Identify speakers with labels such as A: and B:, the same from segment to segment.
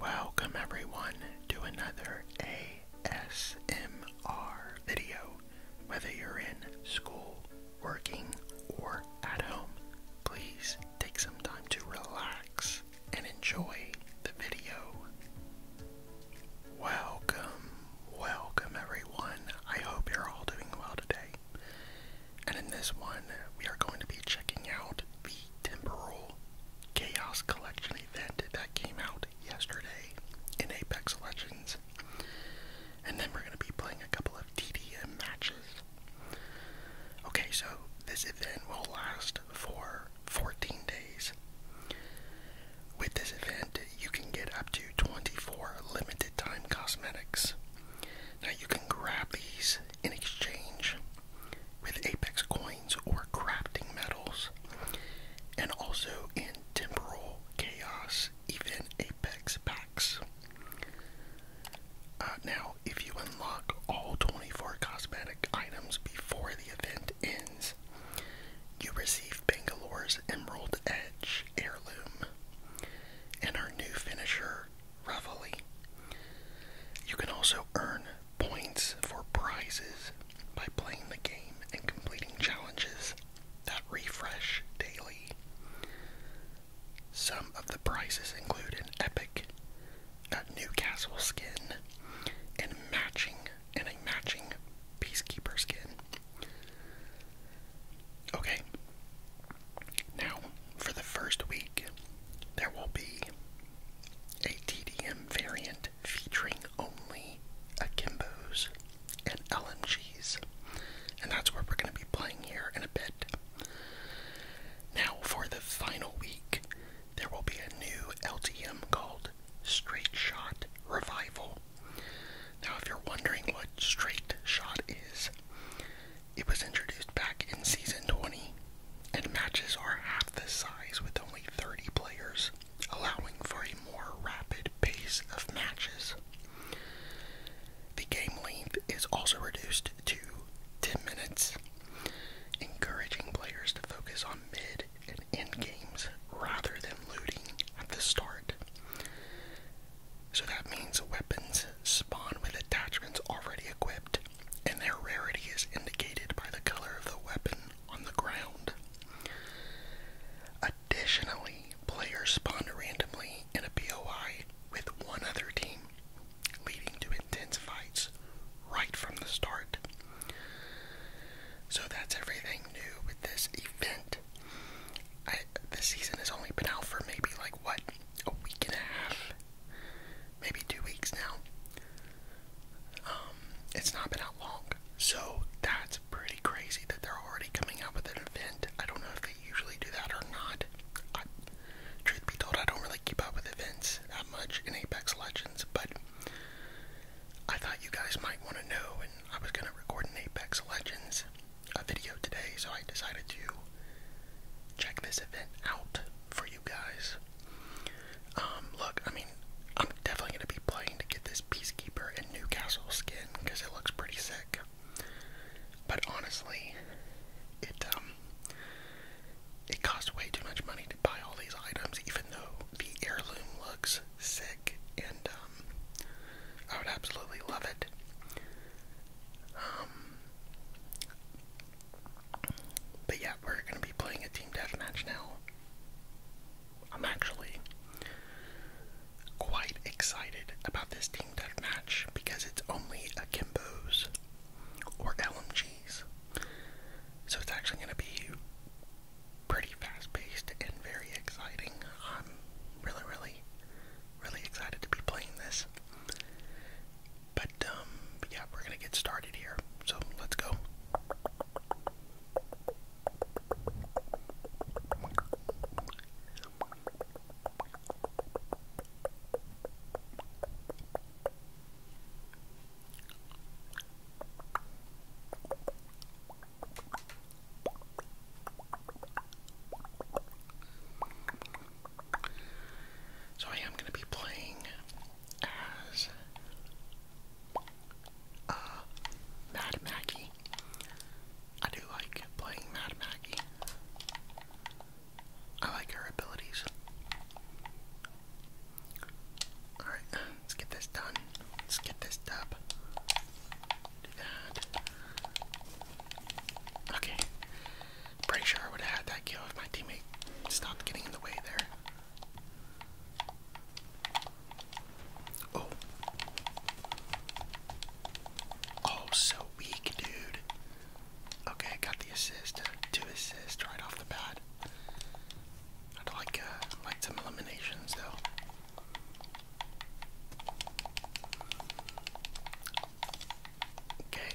A: Welcome everyone to another ASMR video. Whether you're in school, working, or at home, please take some time to relax and enjoy the video. Welcome, welcome everyone. I hope you're all doing well today. And in this one, we are going to be checking out the temporal Chaos Collection event that came out yesterday in Apex Legends. And then we're going to be playing a couple of TDM matches. Okay, so this event will last for 14 days. With this event, you can get up to 24 limited time cosmetics. Now, you can grab these in exchange with apex coins or crafting metals, and also in temporal chaos, even apex packs. Uh, now, if you unlock all 24 cosmetic items before the event ends, you receive Bangalore's Emerald Edge heirloom and our new finisher, Reveille. You can also earn points for prizes by playing the game and completing challenges that refresh daily. Some of the prizes include an epic, a uh, Newcastle skin, and matching and a matching peacekeeper skin. Okay. Now, for the first week, there will be a TDM variant featuring only akimbos and LMGs. And that's where we're going to be playing here in a bit. Now, for the final week, there will be a new LTM called Straight Shot Revival. Now, if you're wondering what Straight Shot is, it was introduced back in season 20 and matches are half the size with only 30 players, allowing for a more rapid pace of matches. The game length is also reduced to 10 minutes, encouraging players to focus on mid and end games rather than looting at the start. So that means weapons spawn with attachments already equipped and their rarity is indicated by the color of the weapon on the ground. Additionally, players spawn randomly in a POI with one other team, leading to intense fights right from the start. So that's everything new with this event. I, the season has only been out for maybe like what, a week and a half? maybe two weeks now. Um, it's not been out long, so that's pretty crazy that they're already coming out with an event. I don't know if they usually do that or not. truth be told, I don't really keep up with events that much in Apex Legends, but I thought you guys might want to know, and I was going to record an Apex Legends a video today, so I decided to check this event out for you guys. Um, look, I mean, I'm definitely going to be playing to get this Peacekeeper and Newcastle skin because it looks pretty sick. But honestly, it um it costs way too much money to buy all these items, even though the heirloom looks sick, and um, I would absolutely love it. Um, but yeah, we're gonna be playing a team deathmatch now. I'm actually quite excited about this team deathmatch because it's only akimbos or LMGs. So it's actually gonna be pretty fast paced and very exciting. I'm really, really, really excited to be playing this. Um, but, yeah, we're gonna get started here. So let's go. So I am going to be playing as uh, Mad Maggie. I do like playing Mad Maggie. I like her abilities. Alright, let's get this done. Let's get this dub. Do that. Okay. Pretty sure I would have had that kill if my teammate stopped getting in the way there. Oh. Oh, so weak, dude. Okay, got the assist. Uh, two assists right off the bat. I'd like uh, like some eliminations though. Okay.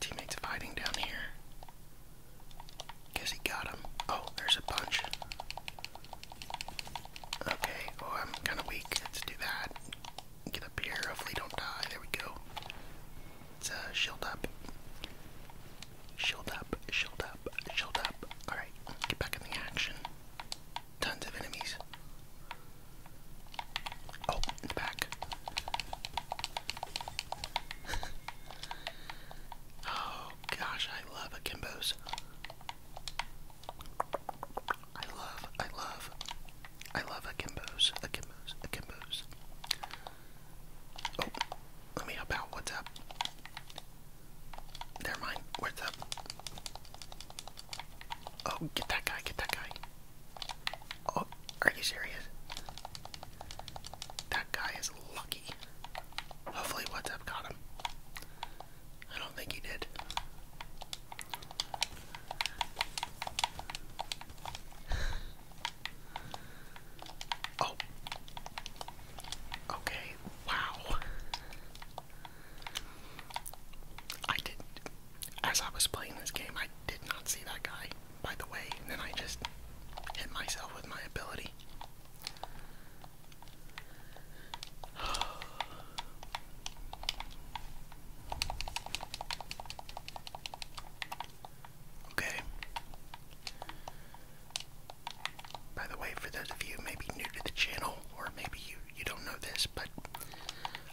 A: Teammates hiding down here. Guess he got him. Oh, there's a bunch. Okay, oh, I'm kind of weak. Let's do that. Get up here. Hopefully, don't die. There we go. Let's uh, shield up. Shield up, shield up, shield up. Alright, get back in the action. Tons of enemies. Oh, back. oh gosh, I love akimbos. I love, I love, I love akimbos, akimbos, akimbos. Oh, let me help out. What's up? Never mind. Where's up? Oh, get that guy. Get that guy. Oh, are you serious? That guy is lucky. Hopefully, what's up got him. I don't think he did. Oh. Okay. Wow. I did. As I was playing this game, I did not see that guy, by the way, and then I just hit myself with my ability. Okay. By the way, for those of you maybe new to the channel, or maybe you, you don't know this, but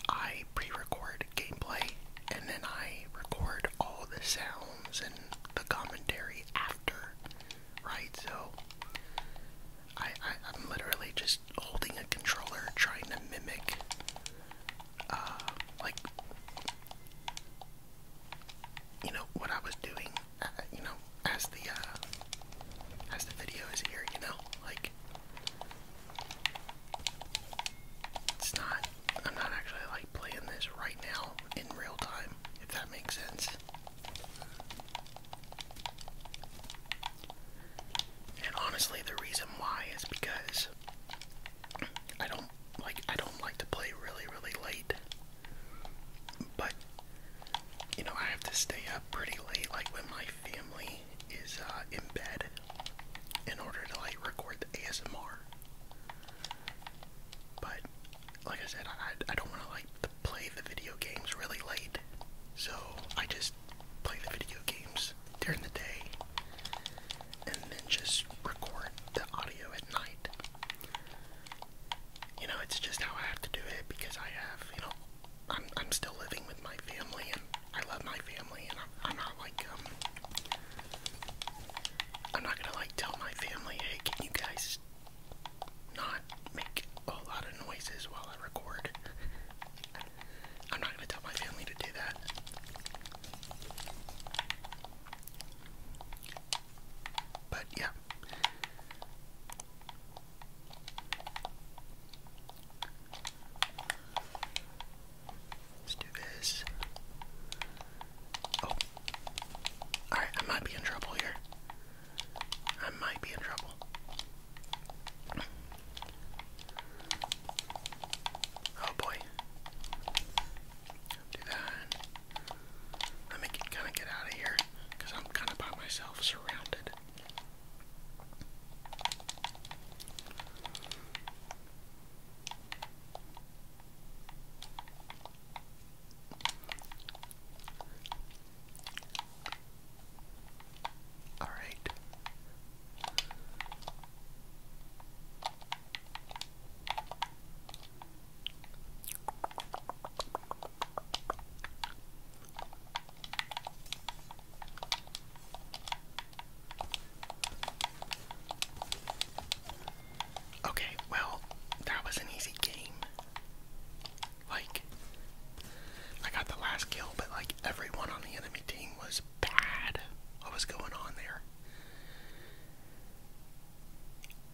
A: I pre-record gameplay, and then I record all the sounds and the commentary after, right? So, I, I, I'm literally just holding a controller trying to mimic uh, like you know what I was doing, uh, you know, as the uh, as the video is here, you know, like it's not. I'm not actually like playing this right now in real time, if that makes sense. And honestly, the reason why is because I don't like I don't like to play really really late. But you know, I have to stay up pretty late like when my family is uh in bed in order to like record the ASMR. But like I said, I I don't want to like play the video games really late. So I just play the video games during the day and then just record the audio at night. You know, it's just how I have to do it because I have, you know, I'm I'm still living with my family and I love my family and I'm not like um I'm not gonna like tell my family, hey, can you guys not make a lot of noises while I record? I'm not gonna tell my family to do that. But yeah. Let's do this. Oh. Alright, I might be in trouble here. I might be in trouble. Oh boy. Do that. Let me kind of get out of here because I'm kind of by myself, surrounded. All right. Okay, well, that was an easy game. Like, I got the last kill, but like everyone on the enemy team was bad. What was going on there?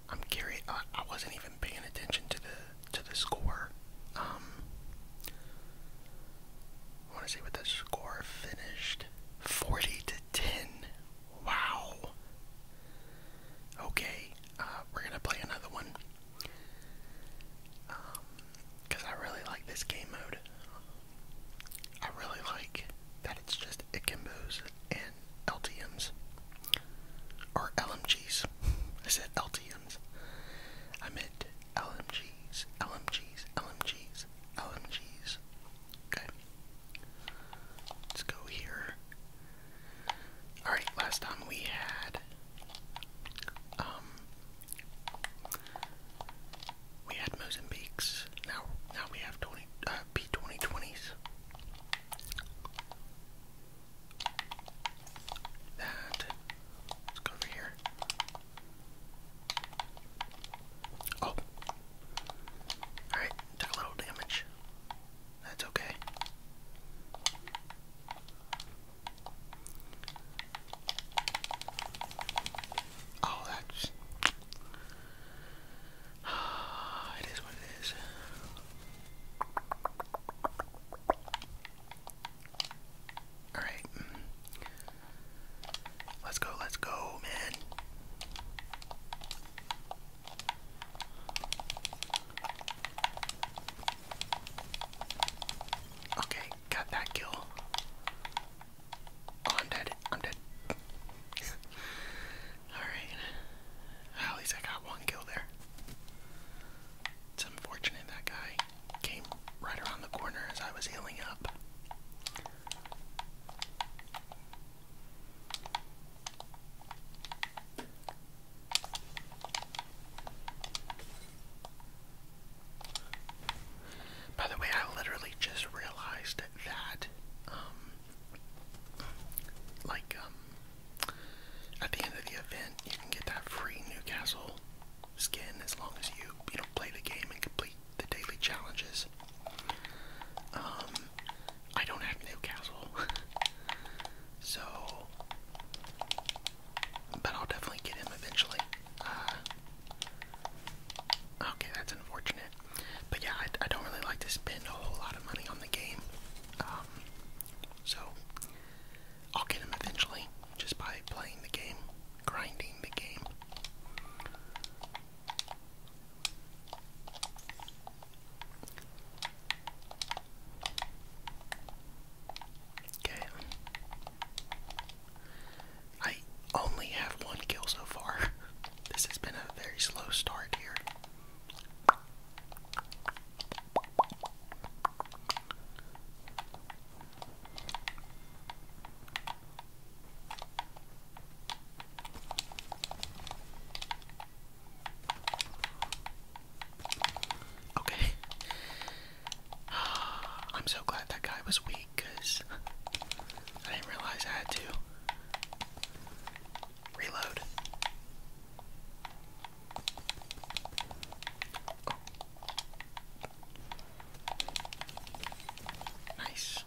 A: I'm curious. I, wasn't even paying attention to the to the score. Um, I want to see what the score finished. Forty to ten. Wow. Okay, uh, we're gonna play another one. Um, cause I really like this game mode. I really like that it's just Ikimbos and LTMs. Or LMGs. I said LTMs. I meant LMGs, LMGs, LMGs, LMGs. Okay. Let's go here. Alright, last time we had um we had Mozambiques. Now, now we have 20 uh, P2020s. That. Let's go over here. Oh. Alright, took a little damage. That's okay. Oh, that's. it is what it is. Alright. Let's go, let's go, man. Okay, got that kill. Oh, I'm dead. I'm dead. Alright. at least I got one kill there. It's unfortunate that guy came right around the corner as I was healing up. By the way, I literally just realized that um, like um at the end of the event you can get that free Newcastle skin as long as you you know play the game and complete the daily challenges. Um I don't have Newcastle. so but I'll definitely get him eventually. Uh, okay, that's unfortunate. But yeah, I, don't really like to spend a whole lot of money on the game. Um, so I'll get him eventually just by playing the game, grinding the game. Okay. I only have one kill so far. This has been a very slow start here. Okay. I'm so glad that guy was weak because I didn't realize I had to reload. Nice.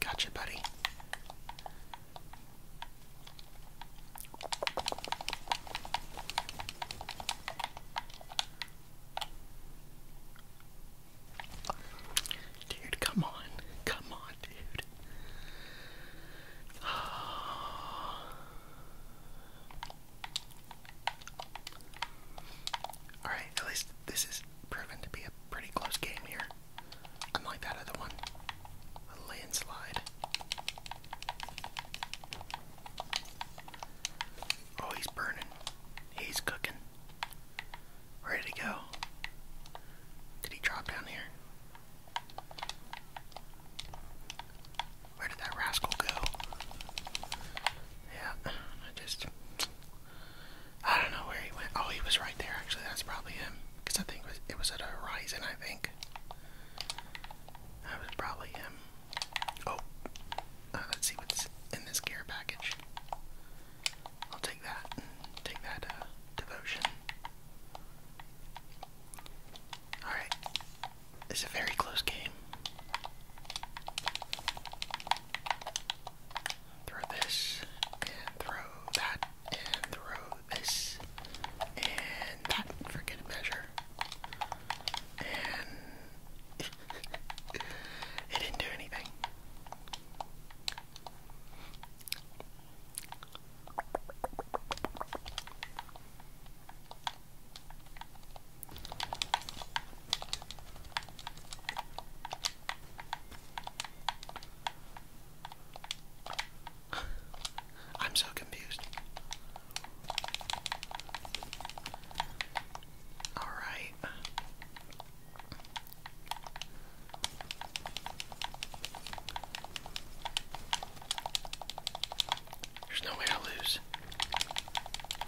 A: Gotcha, buddy. Dude, come on. Come on, dude. Alright, at least this is proven to be a pretty close game here. Unlike that other one. A landslide. Oh, he's burning. He's cooking. Where did he go? Did he drop down here? Where did that rascal go? Yeah, I just. I don't know where he went. Oh, he was right there, actually. That's probably him. Because I think it was, at horizon, I think. That was probably him. Oh, uh, let's see what's in this gear package. I'll take that. Take that, uh, devotion. Alright. It's a very close game. Throw this, and throw that, and throw this, and that. Forget to measure. And it didn't do anything. I'm so confused. All right. There's no way to lose.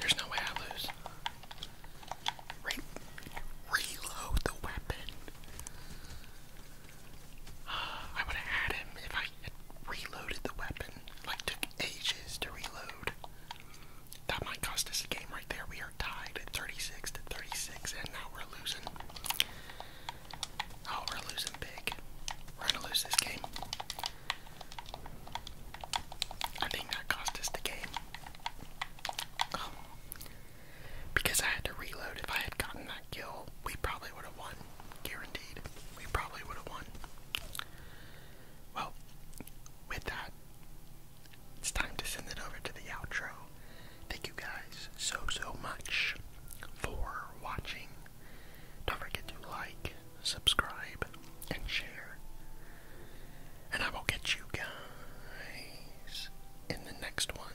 A: There's no way I lose. reload the weapon. I would have had him if I had reloaded the weapon. Like, took ages to reload. That might cost us a game right there. We are tied 36 to 36, and now we're losing. Oh, we're losing big. We're gonna lose this game. I think that cost us the game. Because I had to reload. If I had gotten that kill, we probably would have won. Guaranteed. We probably would have won. Well, with that, it's time to send it over to the outro. Thank you guys so, so much for watching. Don't forget to like, subscribe, and share. And I will get you guys in the next one.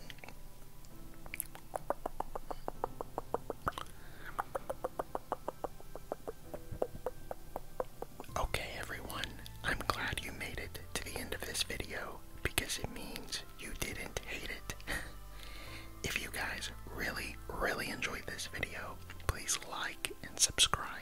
A: Okay, everyone, I'm glad you made it to the end of this video because it means you didn't hate it. if you guys really, really enjoyed this video, please like and subscribe